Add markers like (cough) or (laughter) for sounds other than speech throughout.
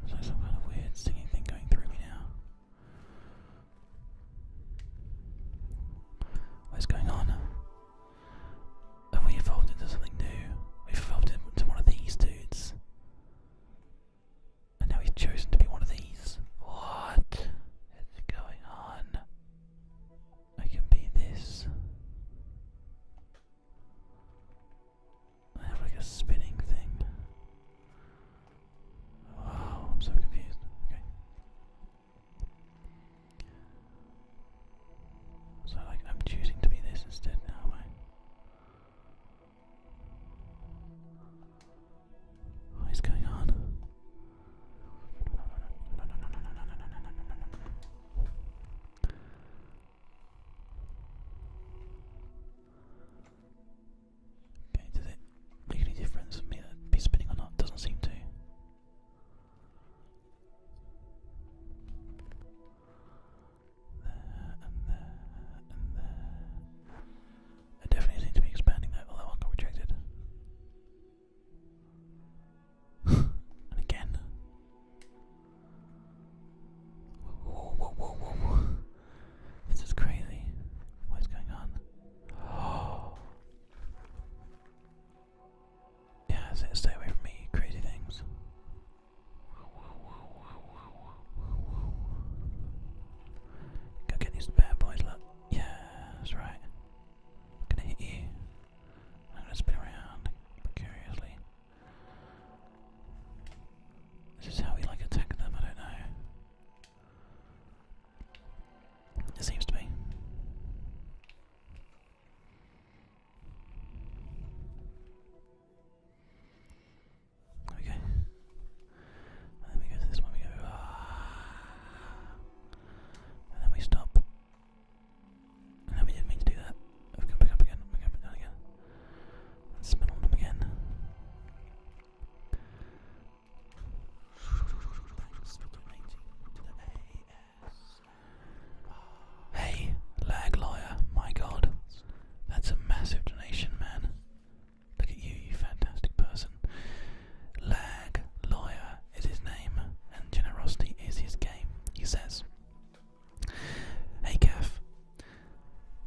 There's like some kind of weird singing thing going through me now. What's going on? Have we evolved into something new? We've evolved into one of these dudes. And now he's chosen to be one of these. What is going on? I can be this. I have like a spinning thing. Oh, I'm so confused. Okay. So like I'm choosing to be this instead now, am I? What is going on? Okay, does it make any difference for me that be spinning or not? Doesn't seem to. I definitely seem to be expanding that, although I got rejected. (laughs) and again. This is crazy. What is going on? (gasps) (gasps) Yeah, so stay away from me, crazy things. Go get these bad boys, look. Yeah, that's right. gonna hit you. I'm spin around precariously. This is how we like attack them, I don't know. It seems to be. There we go. go to this one, we go. Ah. And then we stop. And then we didn't mean to do that. We go back up again, we go back down again. And spin on them again. Hey, lag Lawyer. my god. That's a massive donation, man. Look at you, you fantastic person. Lag Lawyer is his name, and generosity is his game, he says. Hey Gaff,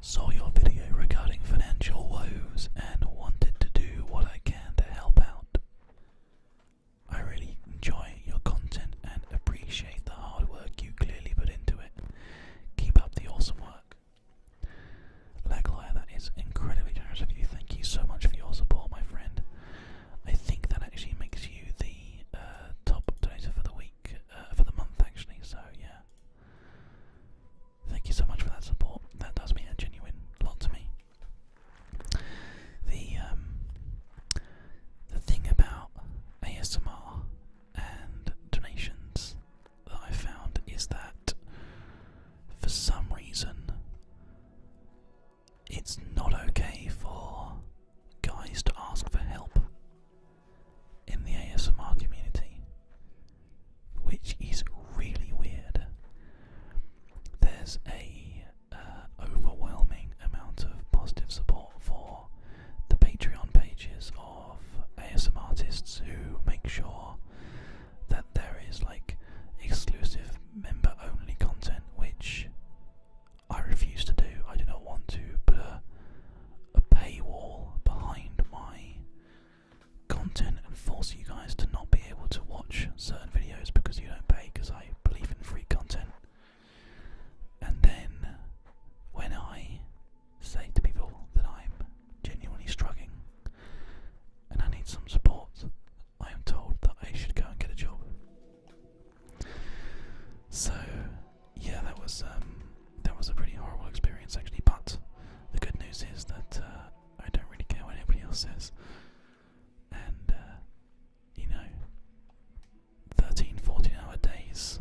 saw your video regarding financial woes and wanted to do what I can to help out. I really enjoy your content and appreciate the hard work you clearly put into it. Keep up the awesome work. Laglire, that is incredibly generous of you. Thank you so much for your support, my friend. I think that actually makes you the uh, top donor for the week, uh, for the month actually, so yeah. Thank you so much for that support. That does mean a genuine lot to me. The um, the thing about ASMR and donations that I found is that for some reason it's not okay for guys to ask for help in the ASMR community, which is really weird. There's a uh, overwhelming amount of positive support for the Patreon pages of ASM artists who make sure that there is like exclusive member only content, which I refuse to do. I do not want to put a paywall behind my content and force you guys to not be able to watch certain videos because you don't pay because I believe in free content. And then when I say to people that I'm genuinely struggling and I need some support, I am told that I should go and get a job. So yeah, that was um, that was a pretty horrible experience actually. But the good news is that uh, I don't really care what anybody else says, and uh, you know, 13, 14 hour days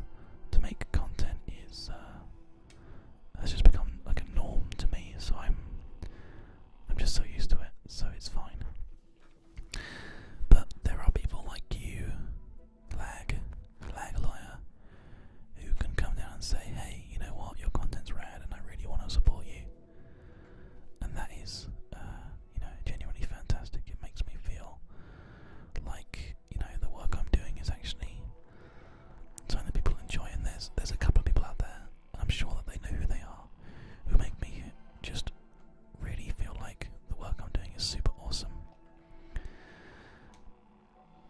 to make content is uh, has just become like a norm to me. So I'm I'm just so used to it, so it's fine. But there are people like you, lag, lag lawyer, who can come down and say, "Hey, you know what? Your content's rad, and I really want to support you." And that is uh, you know, genuinely fantastic. It makes me feel like, you know, the work I'm doing is actually something that people enjoy, and there's there's a couple of people out there, and I'm sure that they know who they are, who make me just really feel like the work I'm doing is super awesome.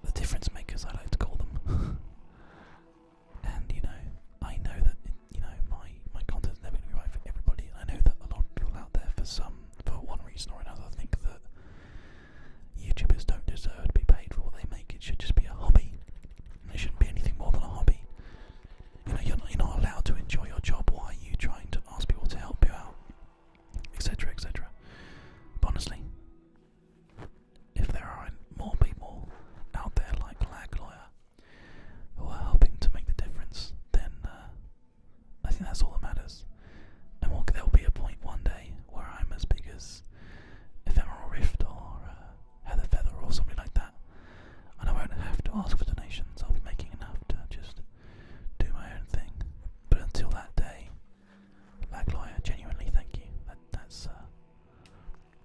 The difference makers, I like to call them. (laughs) and you know, I know that you know my my my content's never going to be right for everybody. I know that a lot of people out there, for some, for one reason or another, think that YouTubers don't deserve to be paid for what they make. It should just be a hobby. It shouldn't be anything more than a hobby. You know, you're not, you're not allowed to enjoy your job. Why are you trying to ask people to help you out, etc., etc.? But honestly, if there are more people out there like Lag Lawyer who are helping to make the difference, then uh, I think that's all that matters. And we'll, there'll be a point one day where I'm as big as Ephemeral Rift or uh, Heather Feather or something like that. And I won't have to ask for donations, I'll be making enough to just do my own thing. But until that day, Lagloya, genuinely thank you. That, that's, uh,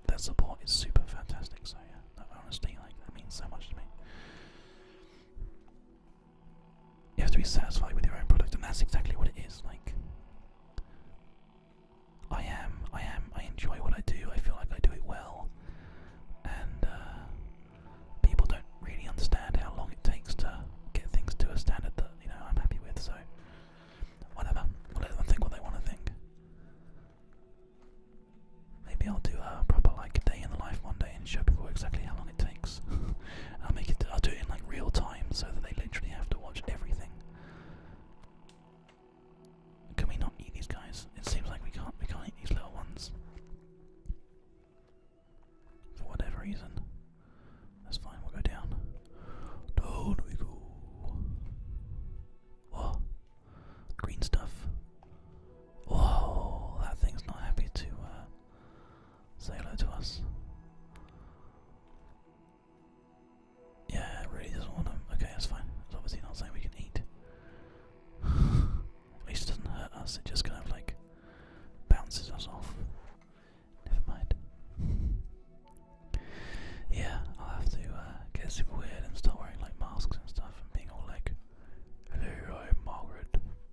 that support is super fantastic, so yeah, honestly, like, that means so much to me. You have to be satisfied with your own product, and that's exactly what it is. Like, I am, I am, I enjoy what I do. I feel like I do it well, and uh, people don't really understand how long it takes to get things to a standard that you know I'm happy with. So, whatever, whatever, them think what they want to think. Maybe I'll do a proper like day in the life one day and show people exactly how long it takes. (laughs) I'll make it. I'll do it in like real time so that they literally have to watch everything. Can we not eat these guys? It seems like we can't. We can't eat these little ones for whatever reason. That's fine. We'll go down. Down we go. What? Green stuff. Whoa, that thing's not happy to uh, say hello to us. Yeah, it really doesn't want them. Okay, that's fine. It's obviously not something we can eat. (sighs) At least it doesn't hurt us, it just kind of like bounces us off. Never mind. (laughs) yeah, I'll have to uh, get super weird and start wearing like masks and stuff and being all like, Hello, Margaret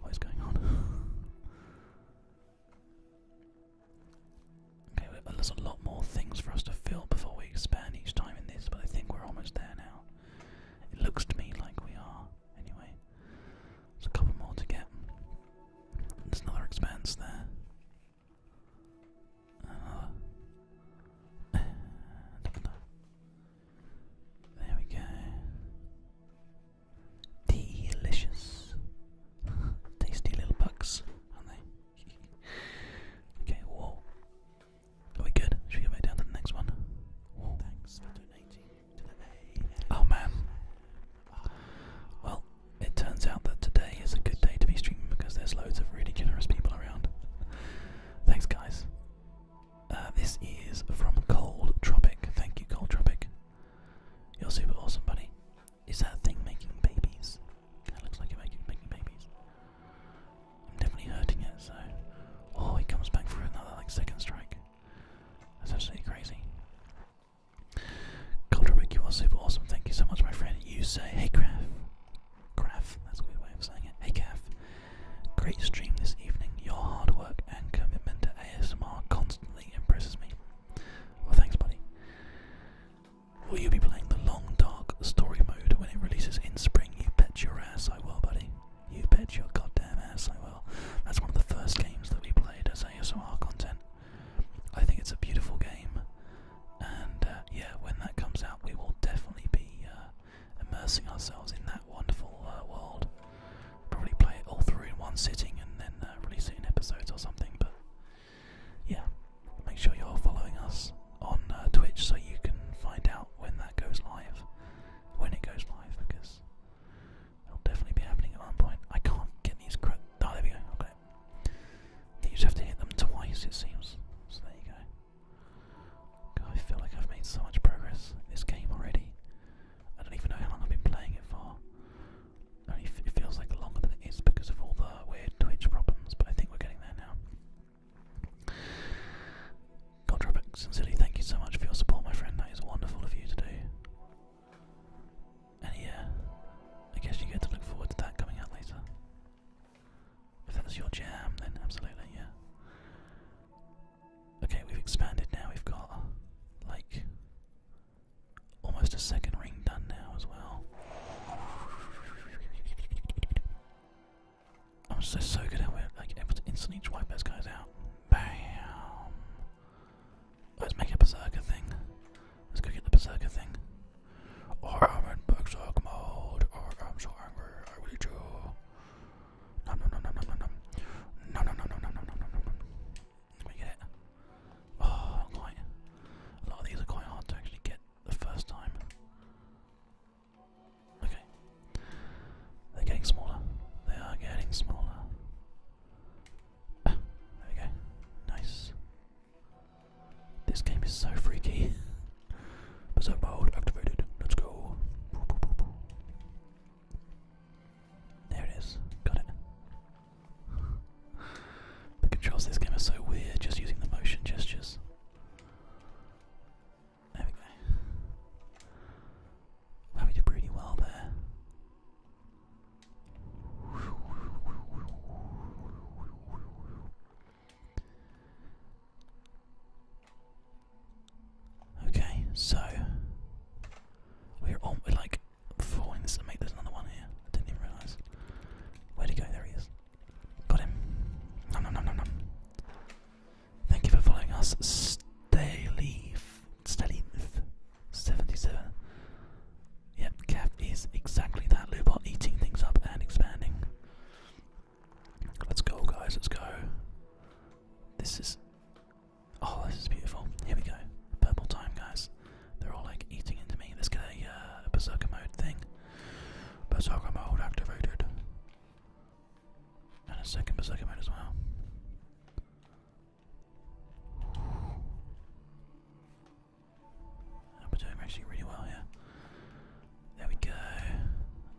What is going on? (laughs) okay, there's a lot more things for us to fill before we expand each time in this, but I think we're almost there now. It looks to me like we are, anyway. There's a couple more to get. There's another expanse there. Uh, (laughs) another. There we go. Delicious. (laughs) Tasty little bugs, aren't they? (laughs) okay, we good? Should we go back down to the next one? Oh man. Well, it turns out that today is a good day to be streaming because there's loads of really generous people around. (laughs) Thanks guys. Uh, this is from Cold Tropic. Thank you, Cold Tropic. You're super awesome, buddy. Is that thing making babies? That looks like it's making, babies. I'm definitely hurting it, so. Oh, he comes back for another like second strike. That's actually crazy. Coldrick, you are super awesome. Thank you so much, my friend. You say, hey, Graf. Graf, that's a weird way of saying it. Hey, Graf. Great stream this evening. Your hard work and commitment to ASMR constantly impresses me. Well, thanks, buddy. Will you be playing the long, dark story mode when it releases in spring? You bet your ass I will, buddy. You bet your goddamn ass I will. That's one of the first games that we played as ASMR content. I think it's a beautiful game, and uh, yeah, when that comes out, we will definitely be uh, immersing ourselves in that wonderful uh, world. Probably play it all through in one sitting and then uh, release it in episodes or something. But yeah, make sure you're following us on uh, Twitch so you can find out when that goes live, when it goes live, because it'll definitely be happening at one point. I can't get these. Cra oh, there we go. Okay. You just have to hit them twice, it seems. So there you go. I feel like I've made so much progress in this game already. I don't even know how long I've been playing it for. I it feels like longer than it is because of all the weird Twitch problems, but I think we're getting there now. Godrobex sincerely, thank you so much for your support, my friend. That is wonderful of you to do. And yeah, I guess you get to look forward to that coming out later. If that's your jam, then absolutely, yeah. Okay, we've expanded now. We've got like almost a second ring done now as well. I'm so so good at we're like able to instantly wipe those guys out. Bam! Let's make a berserker thing. Let's go get the berserker thing. Or I'm in berserk mode, or I'm so angry, I really do. Nom nom nom nom nom nom nom. Nom nom nom nom nom nom get it? Oh, not A lot of these are quite hard to actually get the first time. Okay. They're getting smaller. They are getting smaller. there we go. Nice. This game is so freaky. Berserk mode activated. Let's go. There it is. Got it. (laughs) the controls of this game are so weird, just using the motion gestures. There we go. we did really well there. Okay, so we're on. We're like falling. This mate, there's another one here. I didn't even realise. Where'd he go? There he is. Got him. No, no, no, no, no. Thank you for following us, Staleaf. Staleaf. 77. Yep, Kev is exactly that. Lubot eating things up and expanding. Let's go, guys. Let's go. This is Oh, this is beautiful. Here we go. Purple time, guys. They're all like eating into me. Let's get a, uh, berserker mode thing. Berserker mode activated. And a second berserker mode as well. We're doing actually really well here. There we go.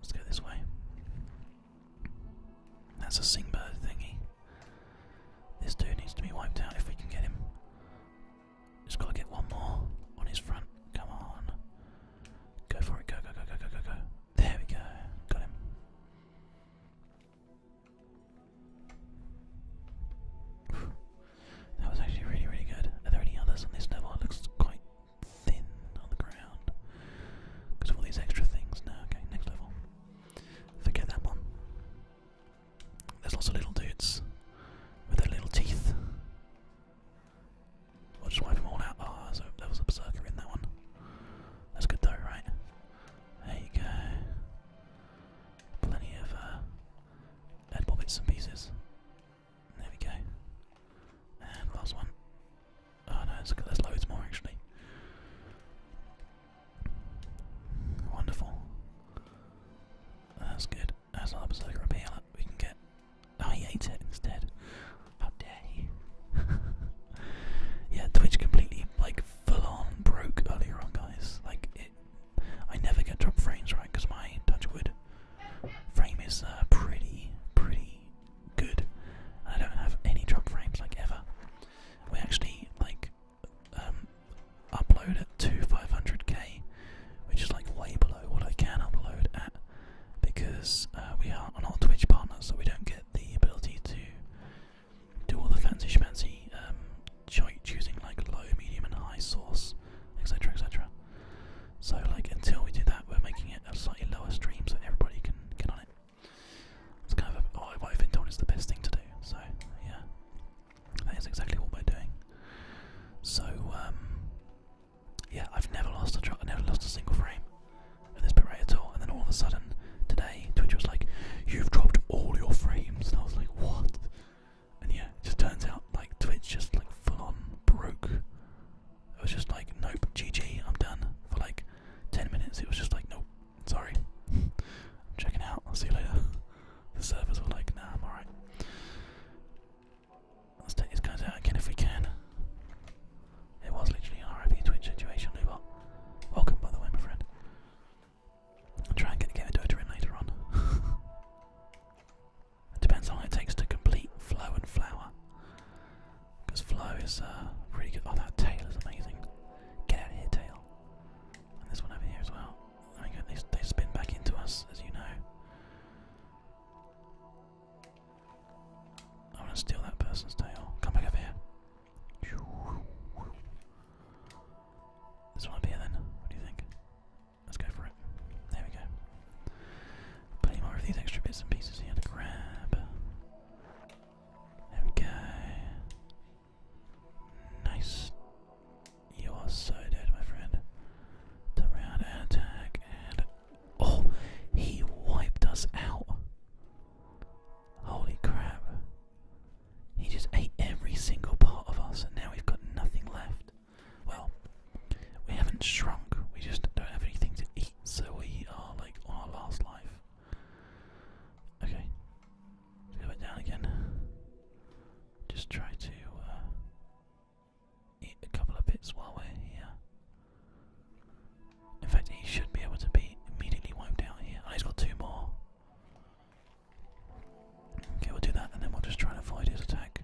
Let's go this way. That's a sing bird thingy. This dude needs to be wiped out if we can get him. Just gotta get one more on his front. Come on. Go for it. Go, go, go, go, go, go, go. There we go. Got him. That was actually really, really good. Are there any others on this level? looks quite thin on the ground because of all these extra things. No, okay, next level. Forget that one. There's lots of little dudes with their little teeth. Watch will just wipe them all out. Oh, so there was a berserker in that one. That's good though, right? There you go. Plenty of uh, dead and pieces. There we go. And last one. Oh no, it's, there's loads more actually. Wonderful. That's good. That's another berserker up here. Look, we can get. Oh, he ate it instead. How dare (laughs) yeah, Twitch completely, like, full on broke earlier on, guys. Like, it. I never get drop frames right because my touch wood Frame is uh, pretty, pretty good. I don't have any drop frames like ever. We actually like um, upload it to 500k, which is like way below what I can upload at, because uh, we are not Twitch partners, so we don't get the ability to do all the fancy schmancy um, choosing like low, medium, and high source, etc., etc. So like until we do that, we're making it a slightly lower stream so everybody can get on it. It's kind of oh, what I've been told is the best thing to do. So yeah, that is exactly what we're doing. So um, yeah, I've never lost a a I've never lost a single frame at this bit at all. And then all of a sudden today, Twitch was like, "You've dropped all your frames," and I was like, "What?" And yeah, it just turns out like Twitch just like full on broke it was just like, nope, GG, I'm done. For like 10 minutes, it was just like, nope, sorry. I'm (laughs) checking out, I'll see you later. (laughs) the servers were like, nah, I'm alright. Let's take these guys out again if we can. It was literally an RIP Twitch situation, Lubot. Welcome, by the way, my friend. I'll try and get, get a Dota in later on. (laughs) It depends how long it takes to complete flow and flower. Because flow is uh, really good. Oh, that tail is amazing. Get out of here, tail. And this one over here as well. There we go. They, spin back into us, as you know. I want to steal that person's tail. Come back over here. This one up here then. What do you think? Let's go for it. There we go. Plenty more of these extra bits and pieces here to grab. There Nice. You are so dead, my friend. Turn around and attack, and oh, he wiped us out. Holy crap! He just ate every single part of us, and now we've got nothing left. Well, we haven't shrunk, we just don't have anything to eat, so we are like on our last life. Okay, let's down again. Just try to uh, eat a couple of bits while we're here. In fact, he should be able to be immediately wiped out here. Oh, he got two more. Okay, we'll do that and then we'll just try and avoid his attack.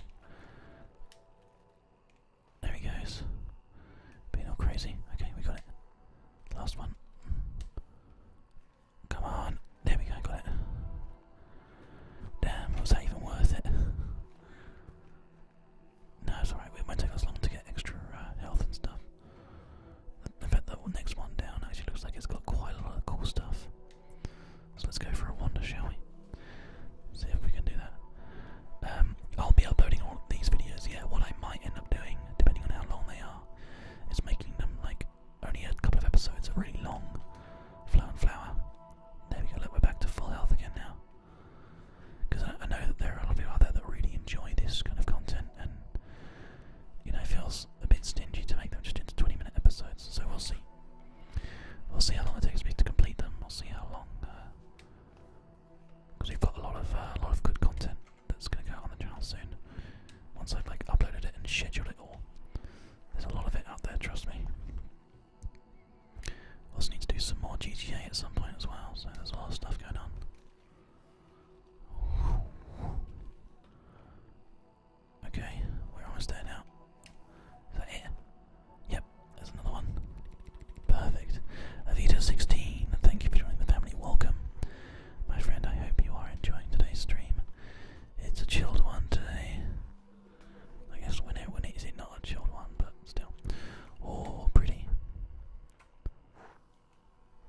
There he goes. Being all crazy. Okay, we got it. Last one. Come on. There we go, got it. Damn, was that even worth it? No, it's alright, it might take us long to get extra uh, health and stuff. In fact, the next one down actually looks like it's got quite a lot of cool stuff. So let's go for a wander, shall we? See if we can do that. Um, I'll be uploading all of these videos. Yeah, what I might end up doing, depending on how long they are, is making them like only a couple of episodes are really long. Flower and flower. There we go. Look, we're back to full health again now. Because I, know that there are a lot of people out there that really enjoy this kind of content, and you know, it feels a bit stingy to make them just into 20-minute episodes. So we'll see. We'll see how long it takes me to complete them. We'll see how long. Uh, because we've got a lot of uh, a lot of good content that's going to go out on the channel soon. Once I've like uploaded it and scheduled it all, there's a lot of it out there. Trust me. Also need to do some more GTA at some point as well. So there's a lot of stuff going on. Okay, we're almost there now. Is that it? Yep, there's another one. Perfect. Avita 16, thank you for joining the family. Welcome. My friend, I hope you are enjoying today's stream. It's a chilled one today. I guess when it when it is it not a chilled one, but still. Oh pretty.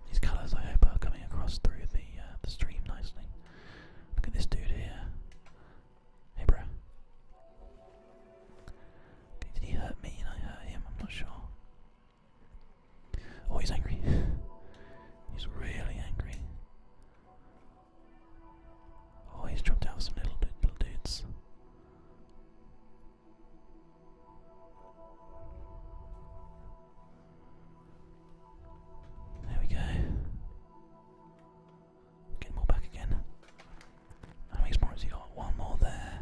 These colours I hope are coming across through the uh, the stream nicely. Look at this dude here. Hey bro. Did he hurt me and I hurt him? I'm not sure. Oh, he's angry. (laughs) he's really angry. Oh, he's dropped out some little, little dudes. There we go. Get more back again. How many more has he got? One more there.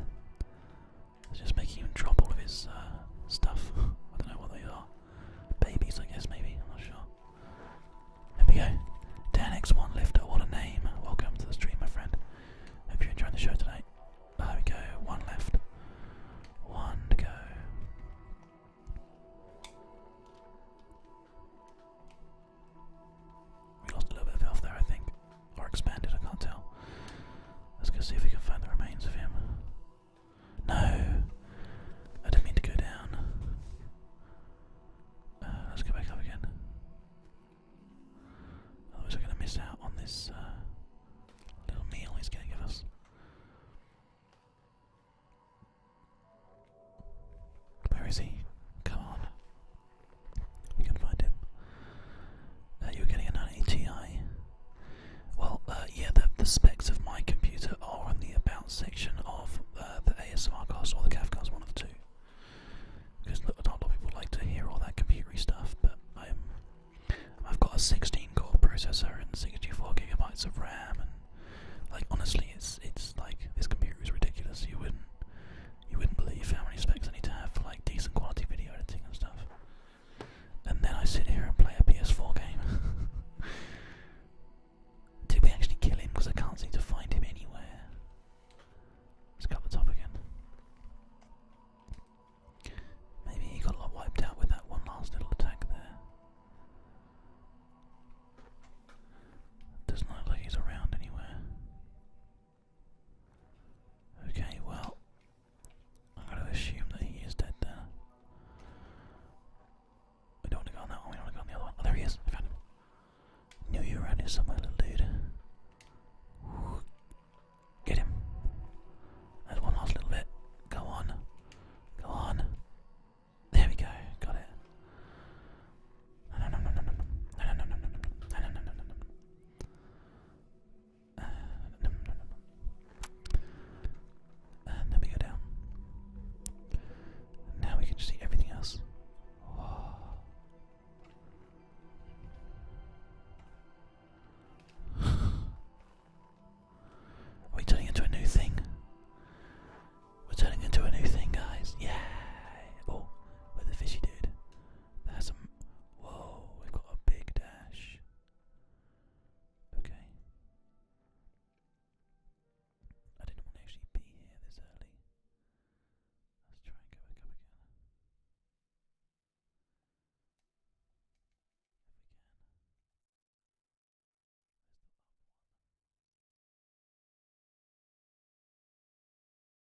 It's just making him drop all of his uh, stuff. (laughs) I don't know what they are. Babies, I guess, maybe. I'm not sure. There we go. DanX1 Lifter, what a name. Welcome to the stream, my friend. Hope you're enjoying the show tonight. Oh, there we go. One left. One to go. We lost a little bit of health there, I think. Or expanded, I can't tell. Let's go see if we can find the remains of him. No! I didn't mean to go down. Uh, let's go back up again. Otherwise, we going to miss out on this uh, little meal he's going to give us. Where is he? Come on. We can find him. Uh, you were getting a 980 Well, uh, yeah, the, the specs of my computer are on the about section of uh, the ASMR cast or the CAF cast, one of the two. Because not a lot of people like to hear all that computery stuff, but I'm, I've got a 16-core processor and 64 gigabytes of RAM, and like honestly, it's it's like this computer is ridiculous. You wouldn't you wouldn't believe how many specs I need to have for like decent quality video editing and stuff. And then I sit here and play a PS4 game. (laughs) Did we actually kill him? Because I can't seem to find him anywhere. Let's cut the top again. Maybe he got a lot wiped out with that one last little attack there. Doesn't look like he's around anywhere. Okay, well, I'm going to assume that he is dead there. We don't want to go on that one, we don't want to go on the other one. Oh, there he is, I found him. Knew somewhere, little dude. Get him. There's one last little bit. Go on. Go on. There we go, got it. And then we go down. Now we can see everything else. Oh. Are turning into a new thing? We're turning into a new thing, guys. Yeah. Oh, with the fishy dude. There's a. Whoa, we've got a big dash. Okay. I didn't want to actually be here this early. Let's try and go back up again.